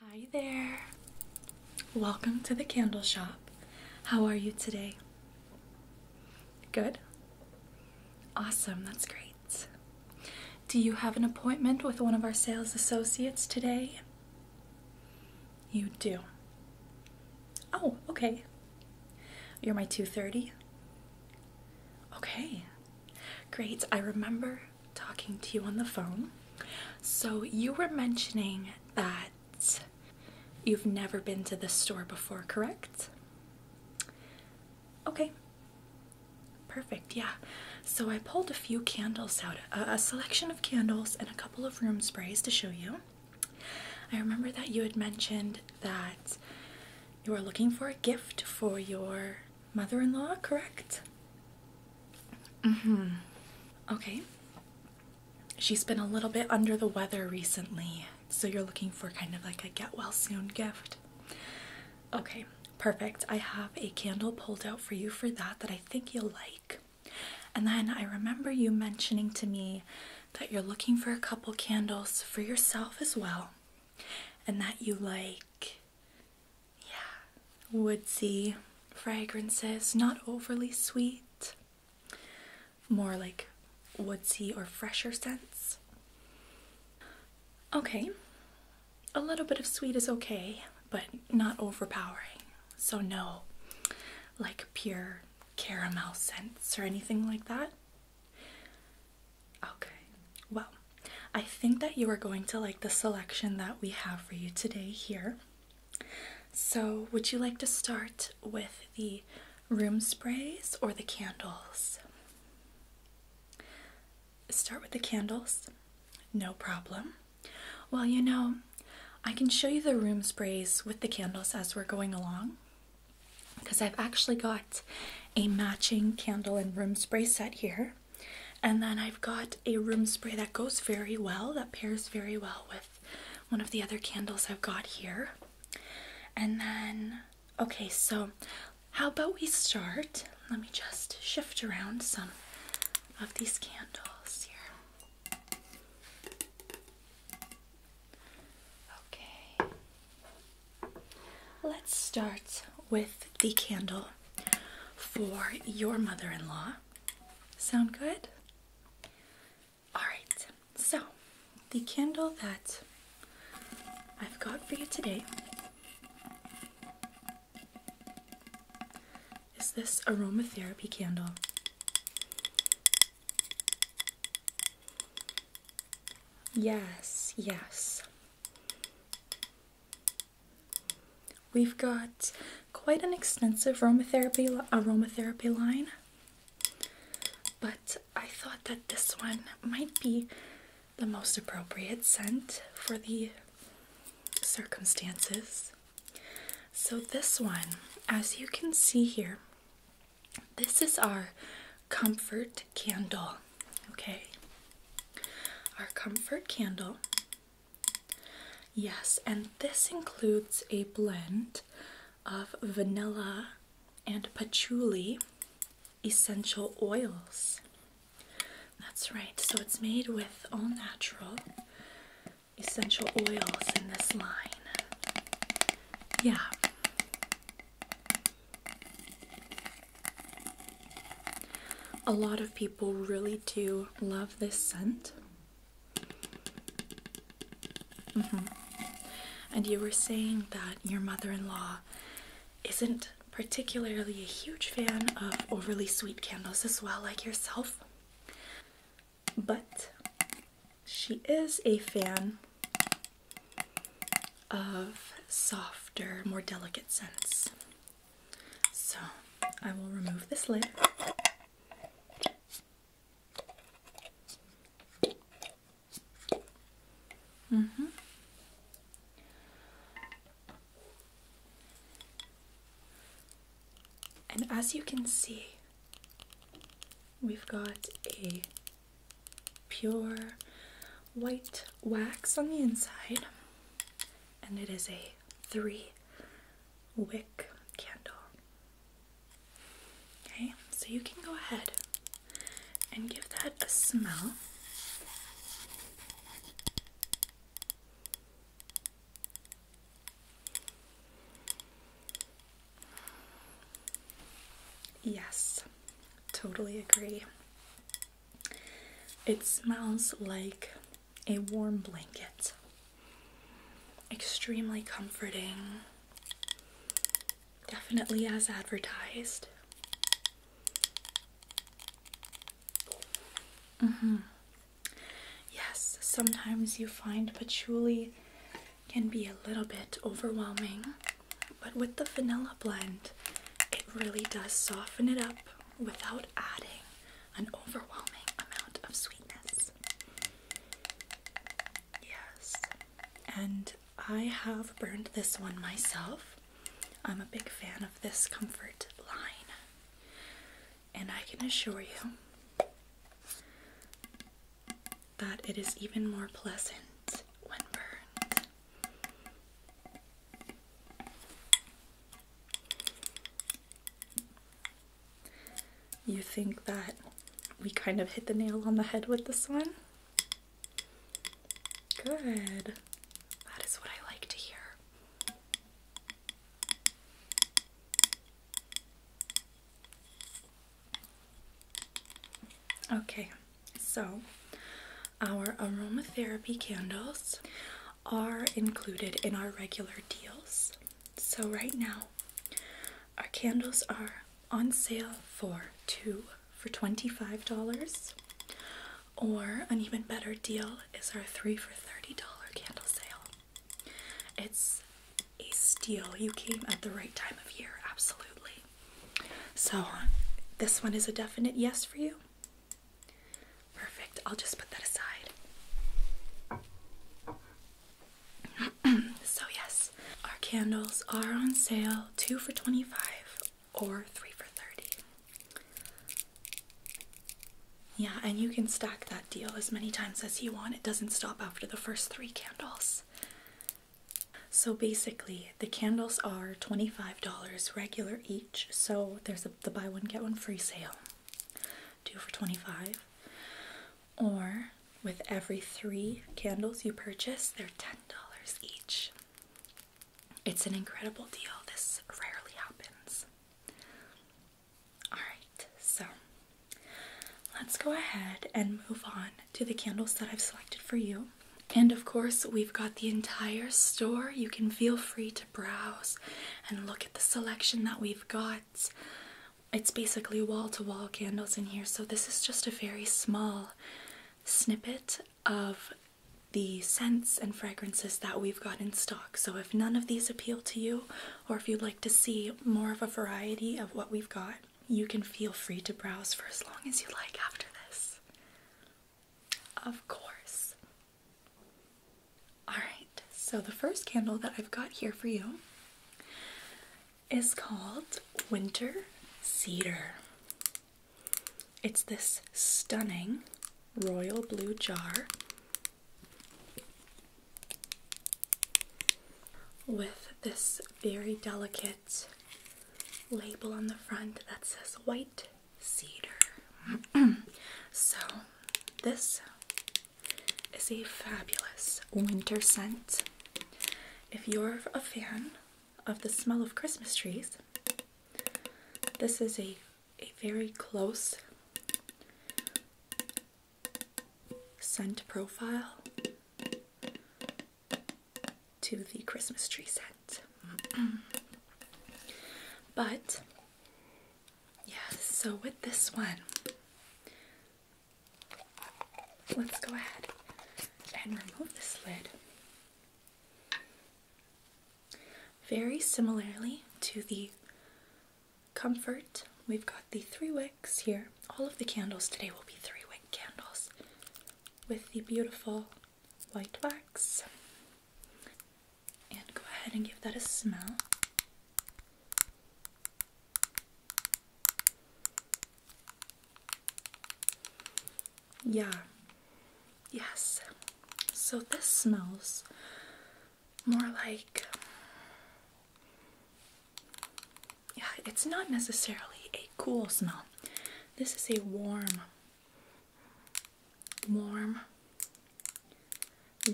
Hi there. Welcome to the candle shop. How are you today? Good? Awesome, that's great. Do you have an appointment with one of our sales associates today? You do. Oh, okay. You're my 2:30. Okay. Great. I remember talking to you on the phone. So, you were mentioning that you've never been to this store before, correct? Okay, perfect, yeah. So, I pulled a few candles out, a, a selection of candles and a couple of room sprays to show you. I remember that you had mentioned that you were looking for a gift for your mother-in-law, correct? Mm-hmm. Okay. She's been a little bit under the weather recently, so you're looking for kind of like a get well soon gift. Okay, perfect. I have a candle pulled out for you for that that I think you'll like. And then I remember you mentioning to me that you're looking for a couple candles for yourself as well, and that you like yeah, woodsy fragrances, not overly sweet, more like woodsy or fresher scents. Okay, a little bit of sweet is okay, but not overpowering. So, no, like pure caramel scents or anything like that. Okay, well, I think that you are going to like the selection that we have for you today here. So, would you like to start with the room sprays or the candles? Start with the candles, no problem. Well, you know, I can show you the room sprays with the candles as we're going along because I've actually got a matching candle and room spray set here. And then I've got a room spray that goes very well, that pairs very well with one of the other candles I've got here. And then, okay, so how about we start? Let me just shift around some of these candles here. Okay, let's start with the candle for your mother in law. Sound good? Alright, so the candle that I've got for you today is this aromatherapy candle. Yes, yes. We've got quite an extensive aromatherapy aromatherapy line, but I thought that this one might be the most appropriate scent for the circumstances. So this one, as you can see here, this is our comfort candle. Okay. Our comfort candle Yes, and this includes a blend of vanilla and patchouli essential oils. That's right, so it's made with all natural essential oils in this line. Yeah. A lot of people really do love this scent. Mm-hmm. And you were saying that your mother in law isn't particularly a huge fan of overly sweet candles as well, like yourself. But she is a fan of softer, more delicate scents. So I will remove this lid. hmm And as you can see, we've got a pure white wax on the inside, and it is a three wick candle. Okay, so you can go ahead and give that a smell. Yes, totally agree. It smells like a warm blanket. Extremely comforting. Definitely as advertised. Mm-hmm. Yes, sometimes you find patchouli can be a little bit overwhelming, but with the vanilla blend, it really does soften it up without adding an overwhelming amount of sweetness. Yes, and I have burned this one myself. I'm a big fan of this comfort line, and I can assure you that it is even more pleasant when burned. You think that we kind of hit the nail on the head with this one? Good. That is what I like to hear. Okay, so our aromatherapy candles are included in our regular deal. So, right now, our candles are on sale for two for $25, or an even better deal is our three for $30 candle sale. It's a steal. You came at the right time of year, absolutely. So, this one is a definite yes for you. Perfect. I'll just put that aside. so, yes, our candles are on sale two for 25 or three for 30. Yeah, and you can stack that deal as many times as you want. It doesn't stop after the first three candles. So basically, the candles are $25 regular each, so there's the buy one get one free sale two for 25 or with every three candles you purchase they're ten dollars each it's an incredible deal this rarely happens all right so let's go ahead and move on to the candles that i've selected for you and of course we've got the entire store you can feel free to browse and look at the selection that we've got it's basically wall to wall candles in here. So, this is just a very small snippet of the scents and fragrances that we've got in stock. So, if none of these appeal to you, or if you'd like to see more of a variety of what we've got, you can feel free to browse for as long as you like after this. Of course. Alright, so the first candle that I've got here for you is called Winter Cedar. It's this stunning royal blue jar with this very delicate label on the front that says white cedar. so, this is a fabulous winter scent. If you're a fan of the smell of Christmas trees, this is a, a very close scent profile to the Christmas tree scent. but Yes, so with this one, let's go ahead and remove this lid. Very similarly to the comfort, we've got the three wicks here. All of the candles today will be three wick candles with the beautiful white wax. And go ahead and give that a smell. Yeah. Yes. So this smells more like. Yeah, it's not necessarily a cool smell. This is a warm, warm,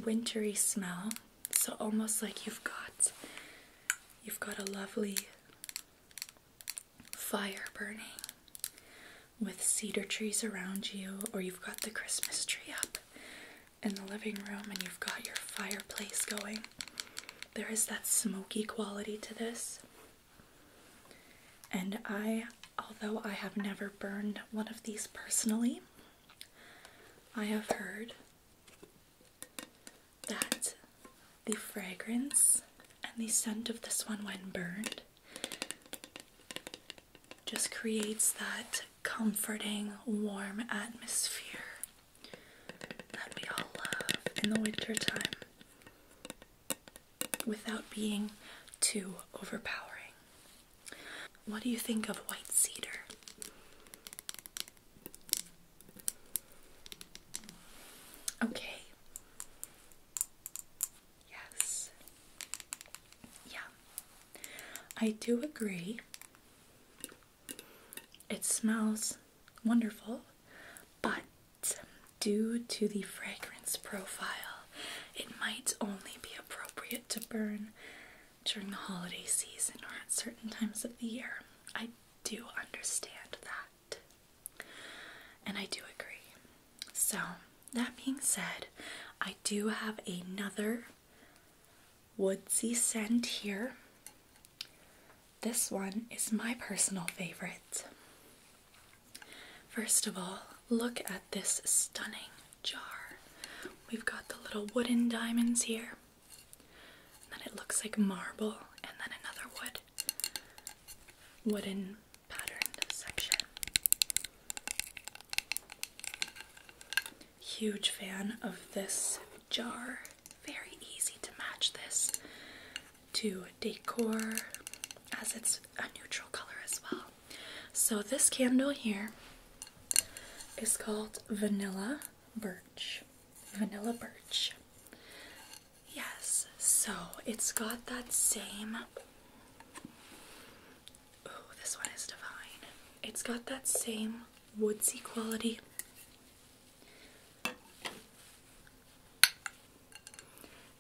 Wintery smell. So almost like you've got you've got a lovely fire burning with cedar trees around you or you've got the Christmas tree up in the living room and you've got your fireplace going. There is that smoky quality to this. And I, although I have never burned one of these personally, I have heard that the fragrance and the scent of this one when burned just creates that comforting, warm atmosphere that we all love in the wintertime, without being too overpowering. What do you think of white cedar? Okay. Yes. Yeah. I do agree. It smells wonderful, but due to the fragrance profile, it might only be appropriate to burn during the holiday season or at certain times of the year. I do understand that. And I do agree. So, that being said, I do have another woodsy scent here. This one is my personal favorite. First of all, look at this stunning jar. We've got the little wooden diamonds here. And then it looks like marble, and then another wood wooden patterned section. Huge fan of this jar. Very easy to match this to decor as it's a neutral color as well. So this candle here is called Vanilla Birch. Vanilla Birch. Yes, so it's got that same. Oh, this one is divine. It's got that same woodsy quality.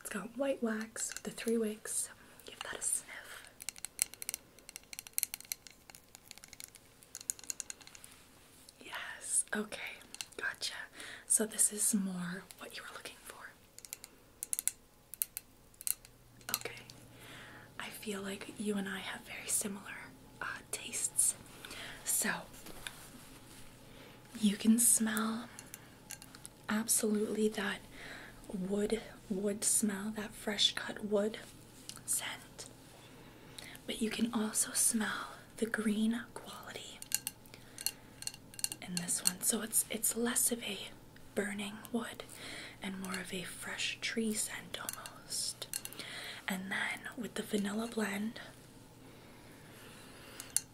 It's got white wax, with the three wicks. Give that a sniff. Yes, okay, gotcha. So, this is more what you were looking for. Okay, I feel like you and I have very similar uh, tastes. So, you can smell absolutely that wood, wood smell, that fresh cut wood scent, but you can also smell the green quality in this one. So it's it's less of a burning wood and more of a fresh tree scent almost. And then with the vanilla blend,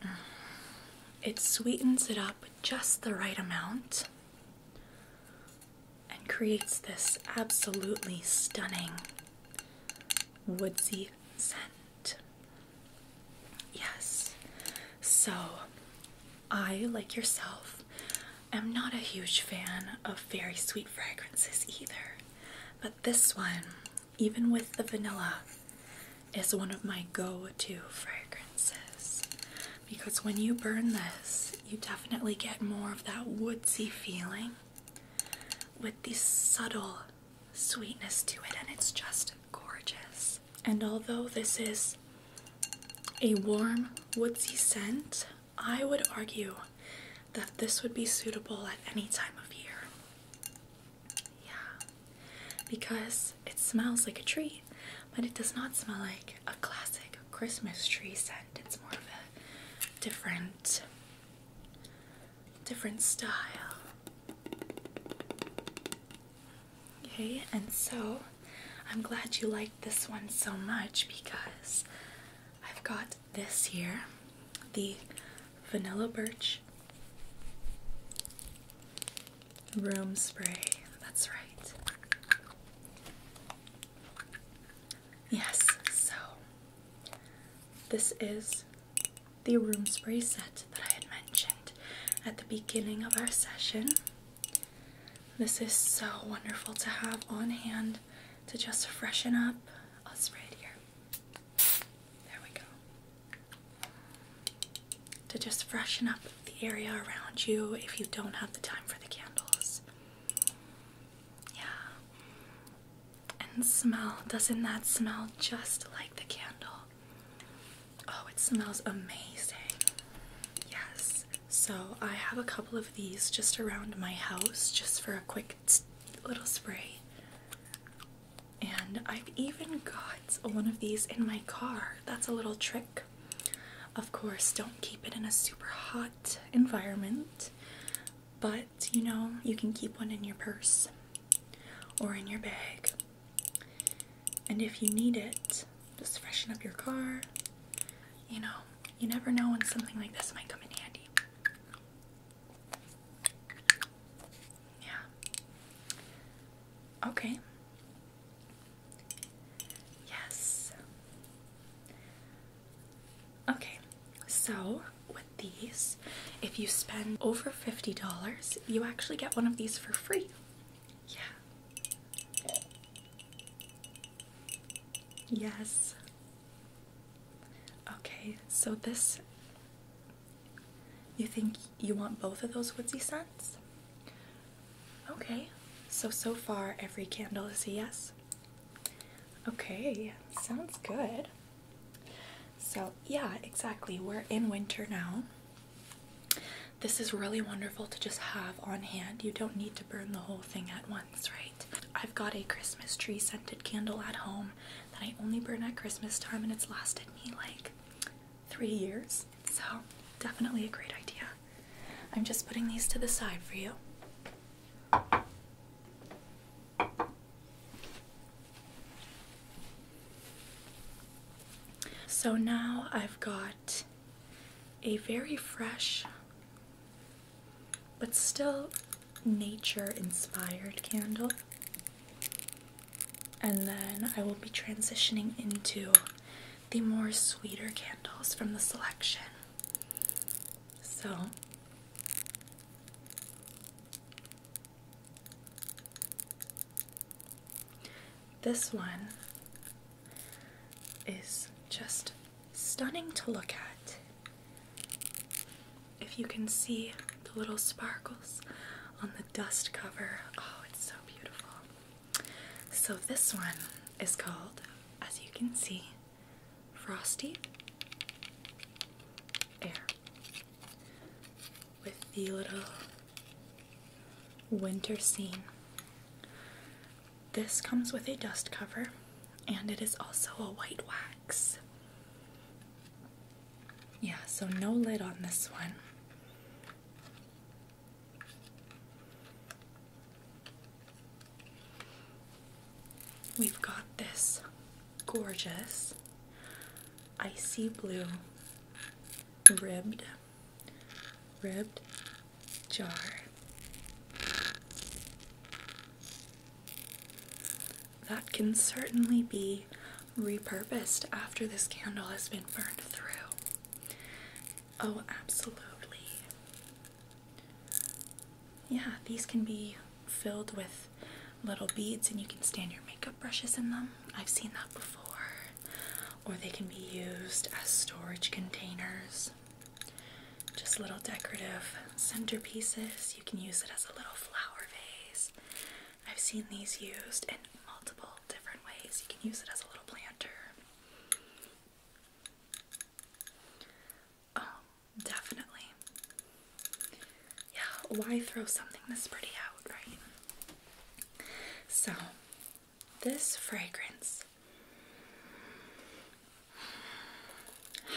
mm, it sweetens it up just the right amount and creates this absolutely stunning woodsy scent. Yes, so I, like yourself, am not a huge fan of very sweet fragrances either, but this one, even with the vanilla, is one of my go to fragrances because when you burn this, you definitely get more of that woodsy feeling with the subtle sweetness to it, and it's just gorgeous. And although this is a warm woodsy scent, I would argue that this would be suitable at any time of year. Yeah, because it smells like a tree, but it does not smell like a classic Christmas tree scent. It's more of a different different style. Okay, and so I'm glad you liked this one so much because I've got this here, the Vanilla Birch Room Spray. That's right. Yes, so this is the room spray set that I had mentioned at the beginning of our session. This is so wonderful to have on hand to just freshen up. I'll spray it here. There we go. To just freshen up the area around you if you don't have the time for the candles. Yeah. And smell. Doesn't that smell just like the candle? Oh, it smells amazing. Yes. So I have a couple of these just around my house just for a quick little spray. And I've even got one of these in my car. That's a little trick. Of course, don't keep it in a super hot environment, but you know, you can keep one in your purse or in your bag. And if you need it, just freshen up your car. You know, you never know when something like this might come in handy. Yeah. Okay. Yes. Okay, so with these, if you spend over $50, you actually get one of these for free. Yeah. Yes. Okay, so this. You think you want both of those woodsy scents? Okay, so so far every candle is a yes. Okay, sounds good. So, yeah, exactly. We're in winter now. This is really wonderful to just have on hand. You don't need to burn the whole thing at once, right? I've got a Christmas tree scented candle at home that I only burn at Christmas time, and it's lasted me like three years. So, definitely a great idea. I'm just putting these to the side for you. So now I've got a very fresh but still nature inspired candle. And then I will be transitioning into the more sweeter candles from the selection. So this one is just stunning to look at. If you can see the little sparkles on the dust cover, oh, it's so beautiful. So, this one is called, as you can see, Frosty Air with the little winter scene. This comes with a dust cover and it is also a white wax. Yeah, so no lid on this one. We've got this gorgeous icy blue ribbed ribbed jar. That can certainly be repurposed after this candle has been burned through. Oh, absolutely. Yeah, these can be filled with little beads and you can stand your makeup brushes in them. I've seen that before. Or they can be used as storage containers. Just little decorative centerpieces. You can use it as a little flower vase. I've seen these used in multiple different ways. You can use it as a little planter. Um, definitely. Yeah, why throw something this pretty out, right? So, this fragrance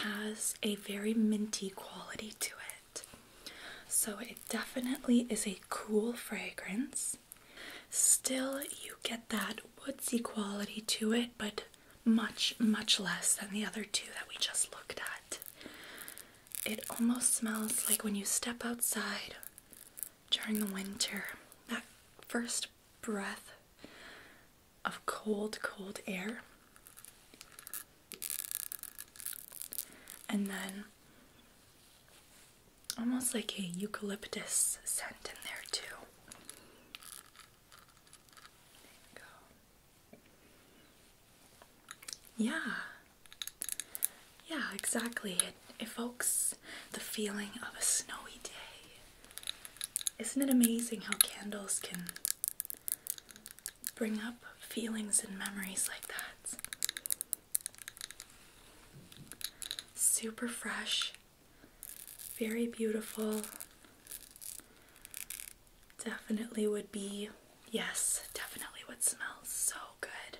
has a very minty quality to it. So, it definitely is a cool fragrance. Still, you get that woodsy quality to it, but much, much less than the other two that we just looked at. It almost smells like when you step outside during the winter, that first breath of cold, cold air. And then almost like a eucalyptus scent in there, too. Yeah. Yeah, exactly. It evokes the feeling of a snowy day. Isn't it amazing how candles can bring up feelings and memories like that? Super fresh, very beautiful. Definitely would be, yes, definitely would smell so good.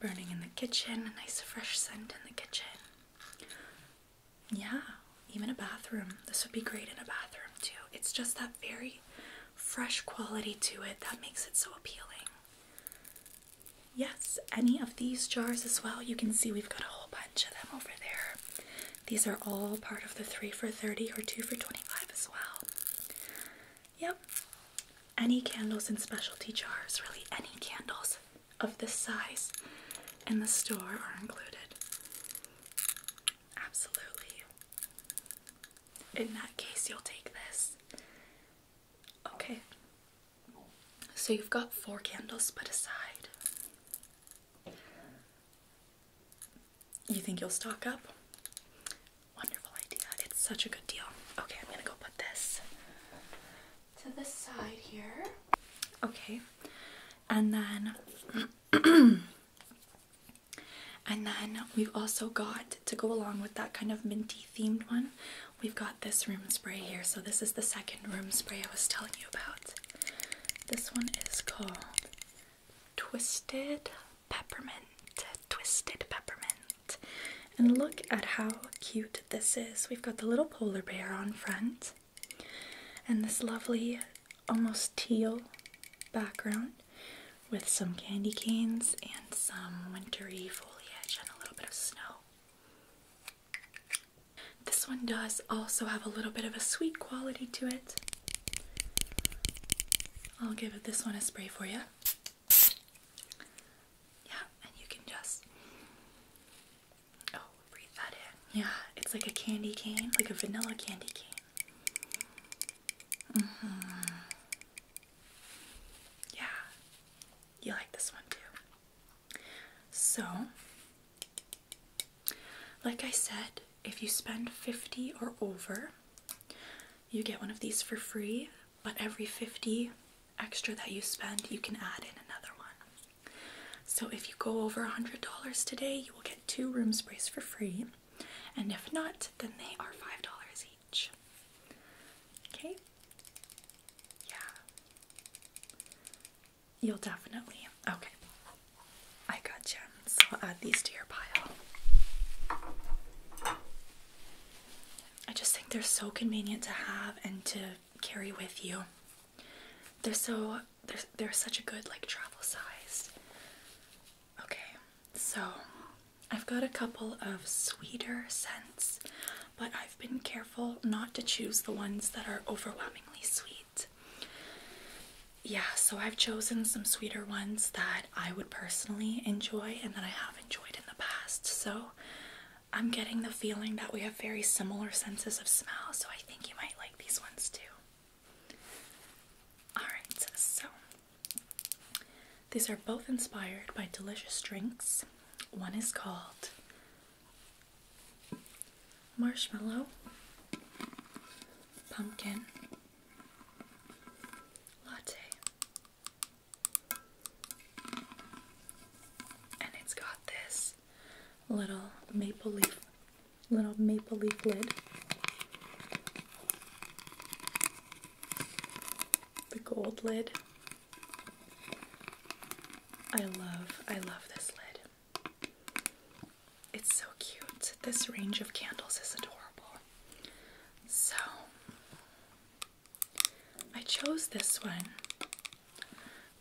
Burning in the kitchen, a nice fresh scent in the kitchen. Yeah, even a bathroom. This would be great in a bathroom too. It's just that very fresh quality to it that makes it so appealing. Yes, any of these jars as well. You can see we've got a whole bunch of them over there. These are all part of the 3 for 30 or 2 for 25 as well. Yep. Any candles in specialty jars, really any candles of this size in the store are included. Absolutely. In that case, you'll take this. Okay. So you've got four candles put aside. You think you'll stock up? Wonderful idea. It's such a good deal. Okay, I'm gonna go put this to the side here. Okay, and then. And then we've also got to go along with that kind of minty themed one. We've got this room spray here. So this is the second room spray I was telling you about. This one is called Twisted Peppermint. Twisted Peppermint. And look at how cute this is. We've got the little polar bear on front and this lovely almost teal background with some candy canes and some wintry foliage and a little bit of snow. This one does also have a little bit of a sweet quality to it. I'll give this one a spray for you. Yeah, and you can just oh, breathe that in. Yeah, it's like a candy cane, like a vanilla candy cane. Mm -hmm. Yeah, you like this one too. So, like I said, if you spend 50 or over, you get one of these for free, but every 50 extra that you spend, you can add in another one. So if you go over $100 today, you will get two room sprays for free, and if not, then they are $5 each. Okay? Yeah. You'll definitely. Okay. I got gems. So I'll add these to your pile. I just think they're so convenient to have and to carry with you. They're so they're they're such a good like travel size. Okay, so I've got a couple of sweeter scents, but I've been careful not to choose the ones that are overwhelmingly sweet yeah, so I've chosen some sweeter ones that I would personally enjoy and that I have enjoyed in the past. So I'm getting the feeling that we have very similar senses of smell, so I think you might like these ones too. Alright, so these are both inspired by delicious drinks. One is called marshmallow, pumpkin, latte. And it's got this little maple leaf little maple leaf lid. The gold lid. I love I love this lid. It's so cute. This range of candles is adorable. So, I chose this one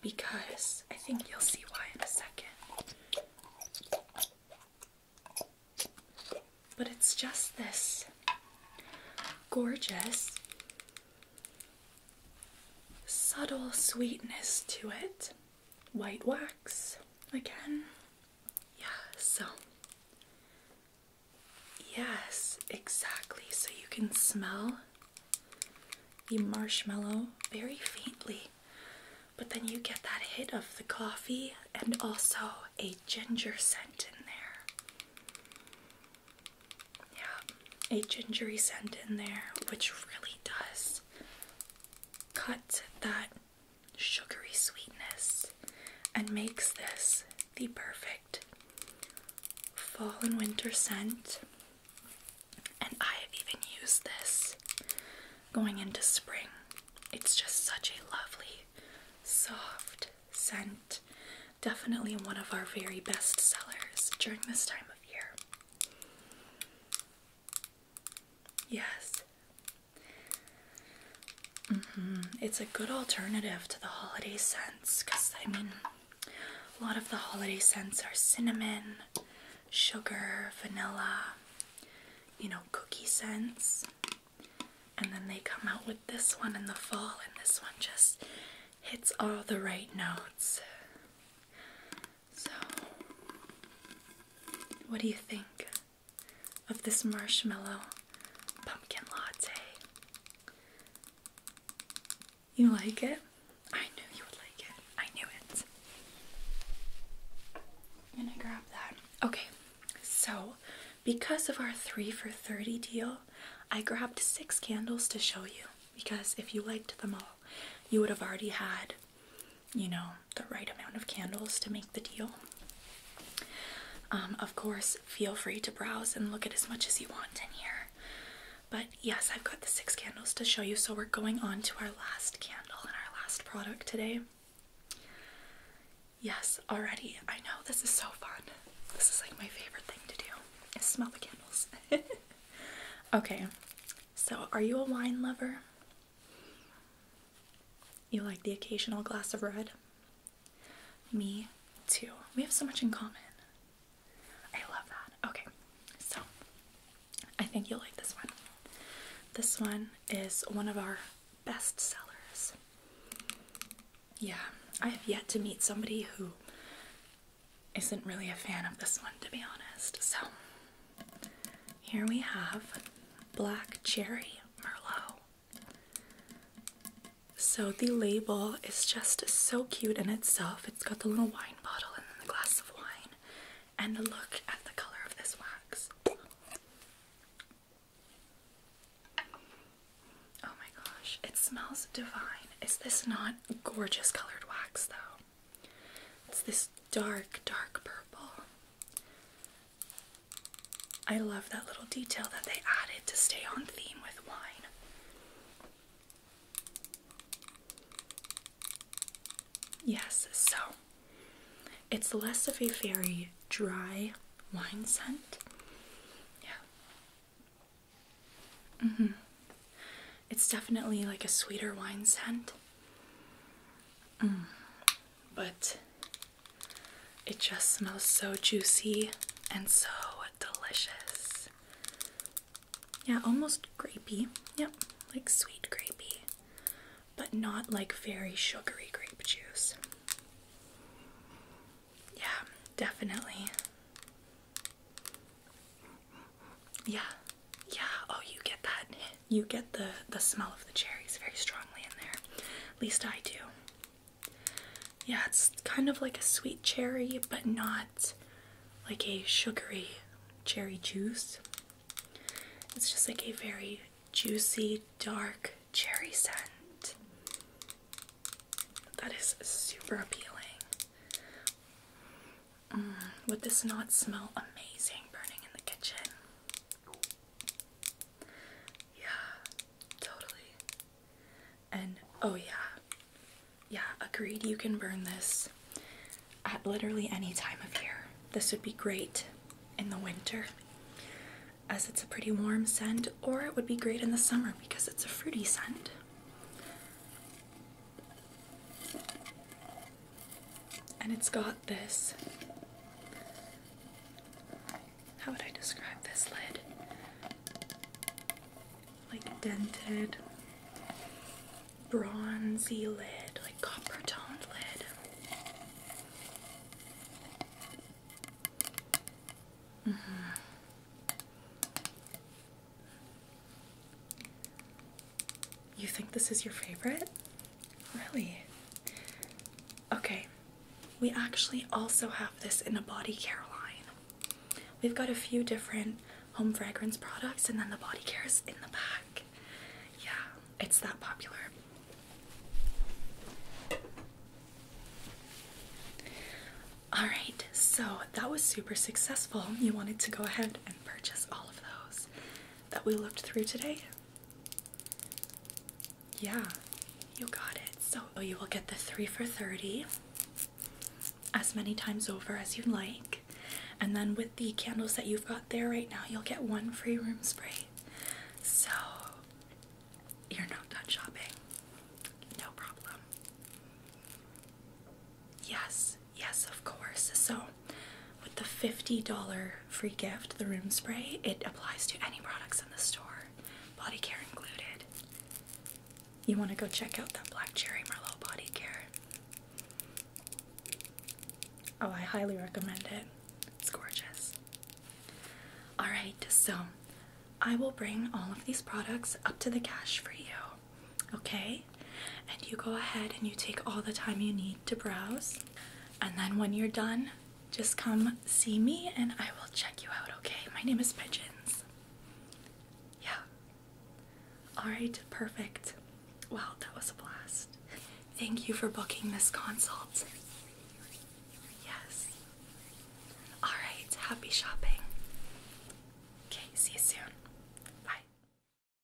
because I think you'll see why in a second. But it's just this gorgeous, subtle sweetness to it white wax again. Yeah, so. Yes, exactly. So you can smell the marshmallow very faintly, but then you get that hit of the coffee and also a ginger scent in there. Yeah, a gingery scent in there, which really does this cuts that sugary sweetness and makes this the perfect fall and winter scent. And I have even used this going into spring. It's just such a lovely, soft scent. Definitely one of our very best sellers during this time of year. Yes. -hmm. It's a good alternative to the holiday scents because I mean, a lot of the holiday scents are cinnamon, sugar, vanilla, you know, cookie scents. And then they come out with this one in the fall, and this one just hits all the right notes. So, what do you think of this marshmallow pumpkin latte? You like it? I knew you would like it. I knew it. i grab that. Okay, so because of our three for 30 deal, I grabbed six candles to show you because if you liked them all, you would have already had you know, the right amount of candles to make the deal. Um, of course, feel free to browse and look at as much as you want in here. But yes, I've got the six candles to show you, so we're going on to our last candle and our last product today. Yes, already. I know this is so fun. This is like my favorite thing to do is smell the candles. Okay, so are you a wine lover? You like the occasional glass of red? Me too. We have so much in common. I love that. Okay, so I think you'll like this one. This one is one of our best sellers. Yeah, I have yet to meet somebody who isn't really a fan of this one, to be honest. So here we have Black Cherry Merlot. So the label is just so cute in itself. It's got the little wine bottle and the glass of wine. And look at the color of this wax. Oh my gosh, it smells divine. Is this not gorgeous colored wax though? It's this dark, dark purple. I love that little detail that they added to stay on theme with wine. Yes, so it's less of a very dry wine scent. Yeah. hmm. It's definitely like a sweeter wine scent. Mm. But it just smells so juicy and so delicious. Yeah, almost grapey. Yep, like sweet grapey. But not like very sugary grape juice. Yeah, definitely. Yeah, yeah. Oh, you get that. You get the the smell of the cherries very strongly in there. At least I do. Yeah, it's kind of like a sweet cherry, but not like a sugary cherry juice. It's just like a very juicy, dark cherry scent. That is super appealing. Mm, would this not smell amazing burning in the kitchen? Yeah, totally. And oh, yeah, yeah, agreed. You can burn this at literally any time of year. This would be great in the winter as it's a pretty warm scent, or it would be great in the summer because it's a fruity scent. And it's got this. How would I describe this lid? Like dented, bronzy lid, like copper toned lid. Mm-hmm. You think this is your favorite? Really? Okay, we actually also have this in a body care line. We've got a few different home fragrance products, and then the body care is in the back. Yeah, it's that popular. Alright, so that was super successful. You wanted to go ahead and purchase all of those that we looked through today? Yeah, you got it. So oh, you will get the three for 30 as many times over as you like. And then with the candles that you've got there right now, you'll get one free room spray. So you're not done shopping. No problem. Yes, Yes, of course. So, with the $50 free gift, the room spray, it applies to any products in the store, body care included. You want to go check out that Black Cherry Merlot body care. Oh, I highly recommend it. It's gorgeous. Alright, so I will bring all of these products up to the cash for you. Okay, and you go ahead and you take all the time you need to browse. And then when you're done, just come see me and I will check you out, okay? My name is Pigeons. Yeah. Alright, perfect. Well, that was a blast. Thank you for booking this consult. Yes. Alright, happy shopping. Okay, see you soon. Bye.